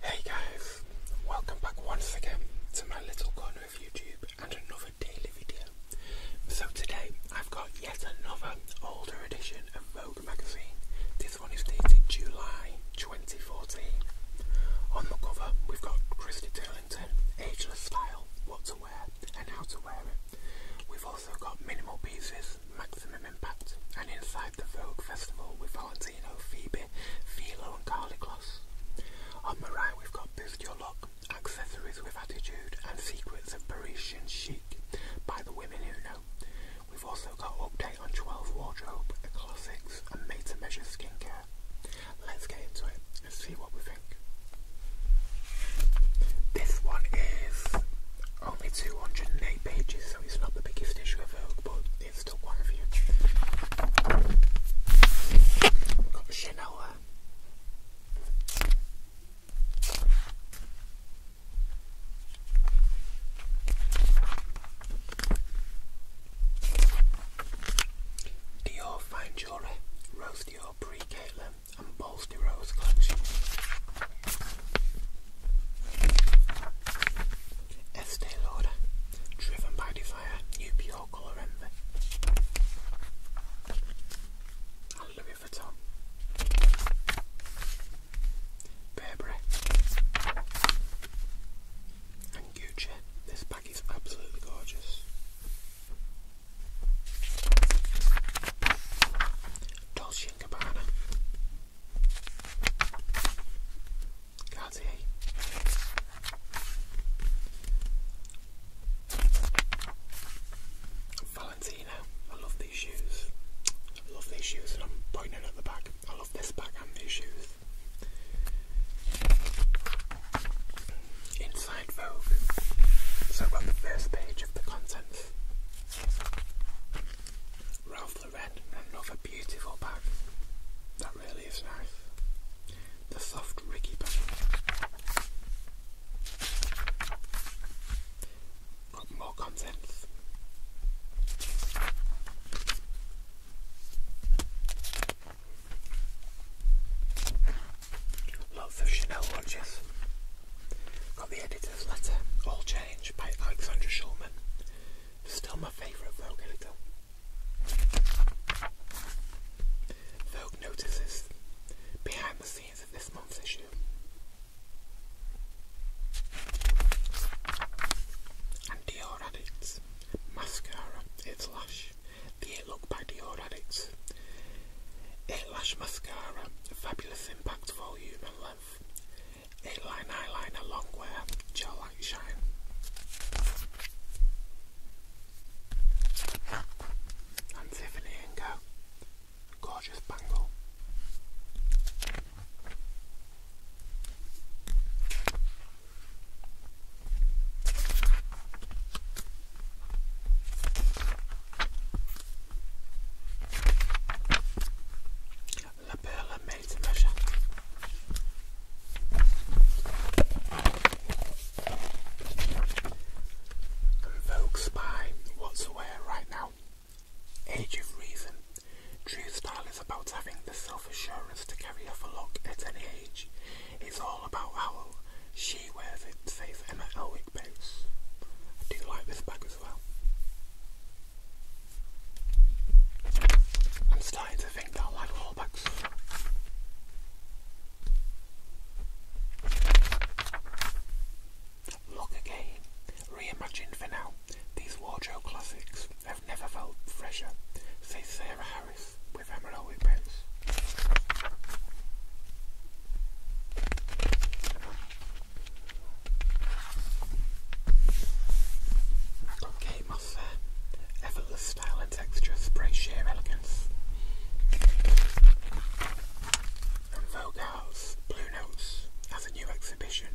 Hey guys, welcome back once again to my little corner of YouTube and another daily video. So today I've got yet another older edition of Vogue magazine. This one is dated July 2014. On the cover we've got Christy Turlington, Ageless Style, What to Wear and How to Wear It also got minimal pieces, maximum impact, and inside the Vogue Festival with Valentino, Phoebe, Philo and Carly Kloss. On the right we've got Boost Your Look, Accessories with Attitude and Secrets of Parisian Chic by the Women Who Know. We've also got Update on 12 Wardrobe, Classics and Made to Measure Skincare. Let's get into it and see what we've this one is only 208 pages, so it's not the biggest issue of Vogue, but it's still one of you. Got the Chanel Dior Fine Jewelry, Dior Pre and Balsley Rose collection. Estee Lauder, driven by Desire, new pure colour envy. And Louis Vuitton. Burberry. And Gucci. This bag is absolutely gorgeous. Dolce & Gabbana Valentino, I love these shoes. I love these shoes and I'm pointing at the back. I love this back and these shoes. Inside Vogue. So on the first page of the contents, Ralph Lauren another beautiful bag. That really is nice. The soft Ricky bag. more contents. Lots of Chanel watches. Got the editor's letter, All Change by Alexandra Schulman. Still my favourite Vogue editor. Vogue notices behind the scenes of this month's issue. And Dior Addicts Mascara, It's lush. The Look by Dior Addicts. Lash Mascara, fabulous impact volume and length. 8 line eyeliner, long wear, gel light shine. And Tiffany & Co. Gorgeous bangle. La perle made to by What's Aware right now. Age of Reason. True style is about having the self assurance to carry off a look at any age. It's all about how she wears it says Emma Elwick Boots. I do like this bag as well. I'm starting to think I like haul bags. Look again, reimagined for now. These wardrobe classics have never felt fresher, says Sarah Harris with Emerald Whippets. Okay, Mossa, effortless style and texture, spray sheer elegance. And Vogue Blue Notes has a new exhibition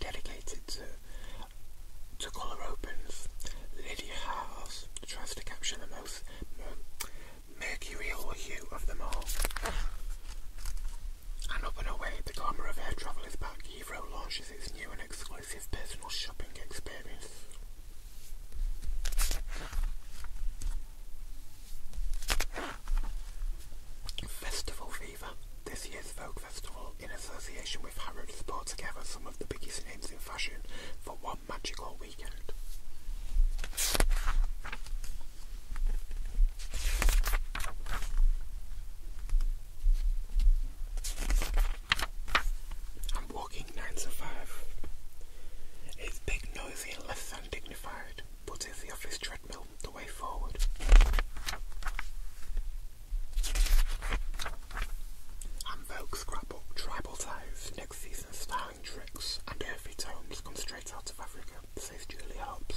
dedicated to to colour opens. Lydia Haas tries to capture the most Mercury or hue of them all. And up and away, the glamour of air travel is back. Evro launches its new and exclusive personal shopping experience. Festival Fever. This year's folk Festival, in association with Harrods, brought together some of the biggest names in fashion for one magical weekend. I'm walking nine to five. It's big, noisy, and less than dignified, but is the office treadmill the way forward? I'm Vogue Scrapbook Tribal Ties next season style. Tricks. and Earthy Tones come straight out of Africa, says Julie Hobbs.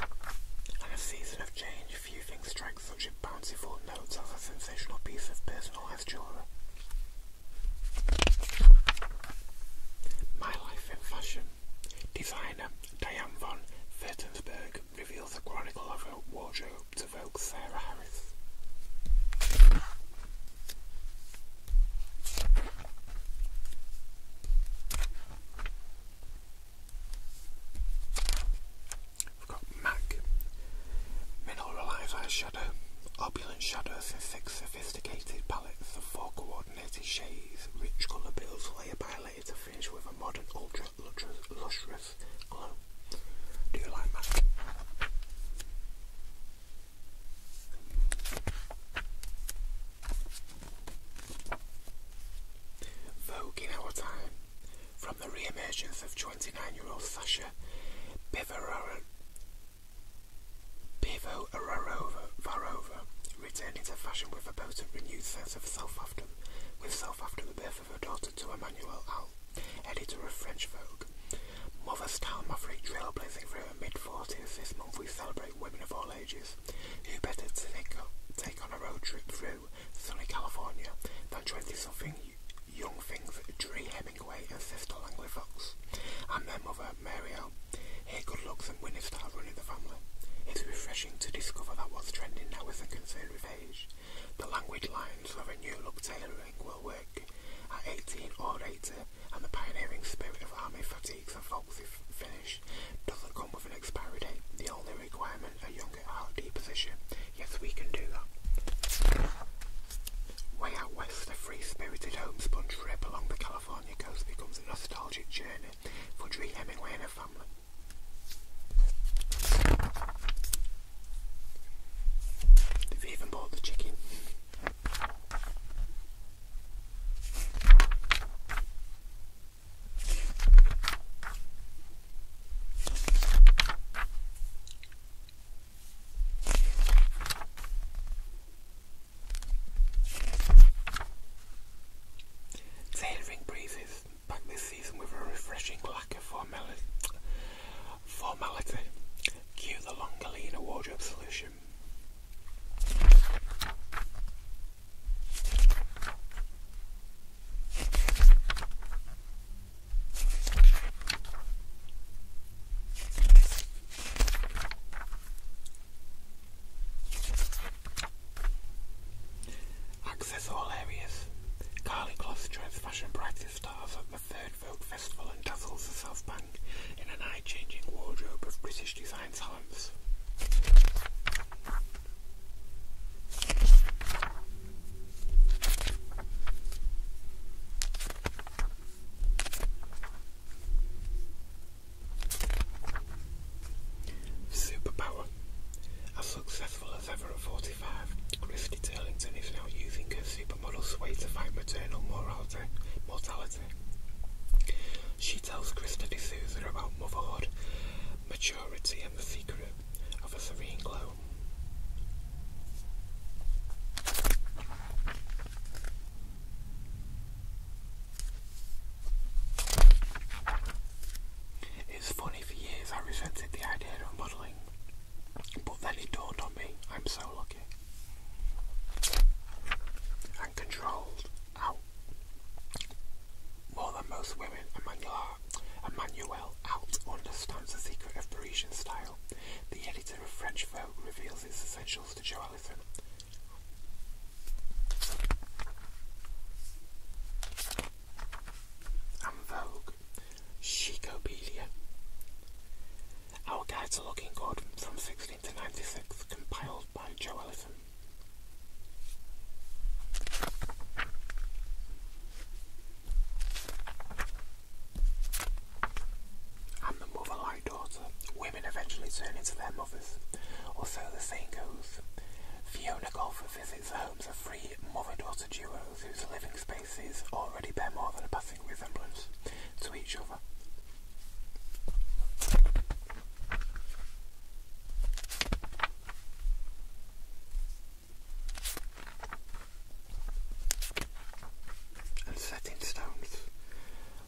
And a season of change, few things strike such a bountiful note as a sensational piece of personalised jewellery. My Life in Fashion. Designer Diane von Furtensberg reveals the chronicle of her wardrobe to Vogue We've got MAC Mineralize Eyeshadow. Opulent shadows in six sophisticated palettes of four coordinated shades. Rich colour builds layer by layer to finish with a modern, ultra lustrous glow. Do you like MAC? Vogue in our time, from the re-emergence of 29-year-old Sasha Pivovarova, returning to fashion with a bout of renewed sense of self after, with self after the birth of her daughter to Emmanuel Al editor of French Vogue. Mother Style Maverick trailblazing through her mid-40s, this month we celebrate women of all ages. You better to take, up, take on a road trip through sunny California than 20-something young things Dree Hemingway and Sister Langley Fox, and their mother, Mary L. Here good looks and winning style running the family. It's refreshing to discover that what's trending now isn't concerned with age. The language lines of a new look tailoring will work at 18 or later, and the pioneering spirit of army fatigues and focuses finish doesn't come with an expiry date. The only requirement a young hardy position. Yes, we can do that. Way out west, a free-spirited homespun trip along the California coast becomes a nostalgic journey for Dree Hemingway and her family. They've even bought the chicken. The breezes back this season with a refreshing lack of formality Formality. Cue the longer, leaner wardrobe solution. Access all areas. Carly Cloth joins fashion practice stars third folk festival and dazzles herself blank in an eye-changing wardrobe of British design talents. Superpower. As successful as ever at 45, Kate is now using her supermodel sway to fight maternal mortality. She tells Krista D'Souza about motherhood, maturity, and the secret of a serene glow. It's funny, for years I resented the idea of modelling, but then it dawned on me I'm so lucky and controlled out more than most women. Emmanuel, Emmanuel Alt understands the secret of Parisian style. The editor of French Vogue reveals its essentials to Joelison. And Vogue, Chicopedia. Our Guide to Looking Good from 16 to 96, compiled by Joe Ellison. And the mother like daughter, women eventually turn into their mothers, or so the saying goes. Fiona Golfer visits the homes of three mother-daughter duos whose living spaces already bear more than a passing something resemblance to each other. And set in stones.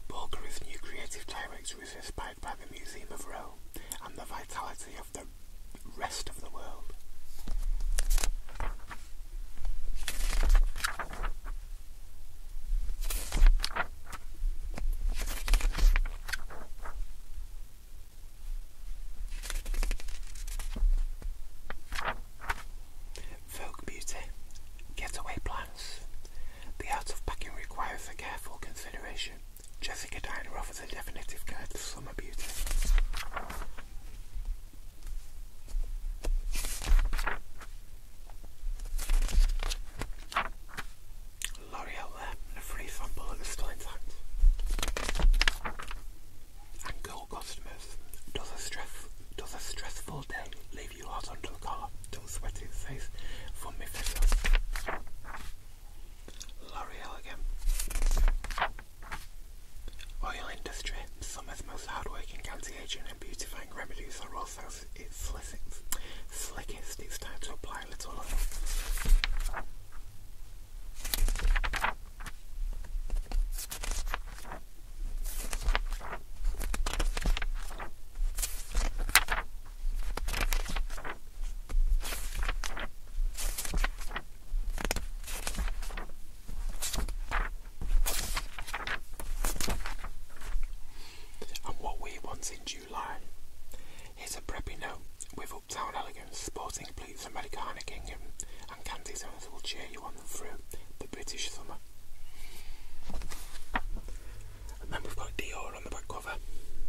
Bulgari's new creative director is inspired by the Museum of Rome and the vitality of the rest of the world. Folk Beauty Getaway Plans The art of packing requires a careful consideration. Jessica Diner offers a definitive guide to summer beauty. L'Oreal a free sample that is still intact. And gold customers, does a stress does a stressful day leave you hot under the collar? Don't sweat it, says from me L'Oreal again. Oil industry. Summer's most hard-working anti-aging and beautifying remedies are also its slickest. Slickest. It's time to apply a little oil. And what we want in July is a preppy note with Uptown Elegance, sporting pleats and Americana Kingdom and candy zones will cheer you on through the British summer. And then we've got Dior on the back cover.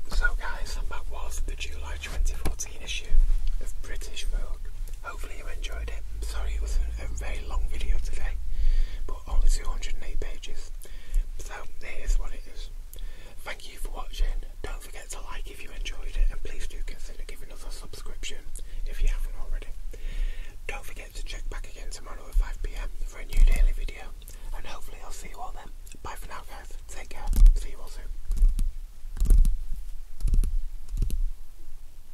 So guys, that was the July 2014 issue of British Vogue. Hopefully you enjoyed it. Sorry it was a very long video today, but only 208 pages. So it is what it is. Thank you for watching. Don't forget to like if you enjoyed it, and please do consider giving us a subscription if you haven't already. Don't forget to check back again tomorrow at 5pm for a new daily video, and hopefully I'll see you all then. Bye for now guys, take care, see you all soon.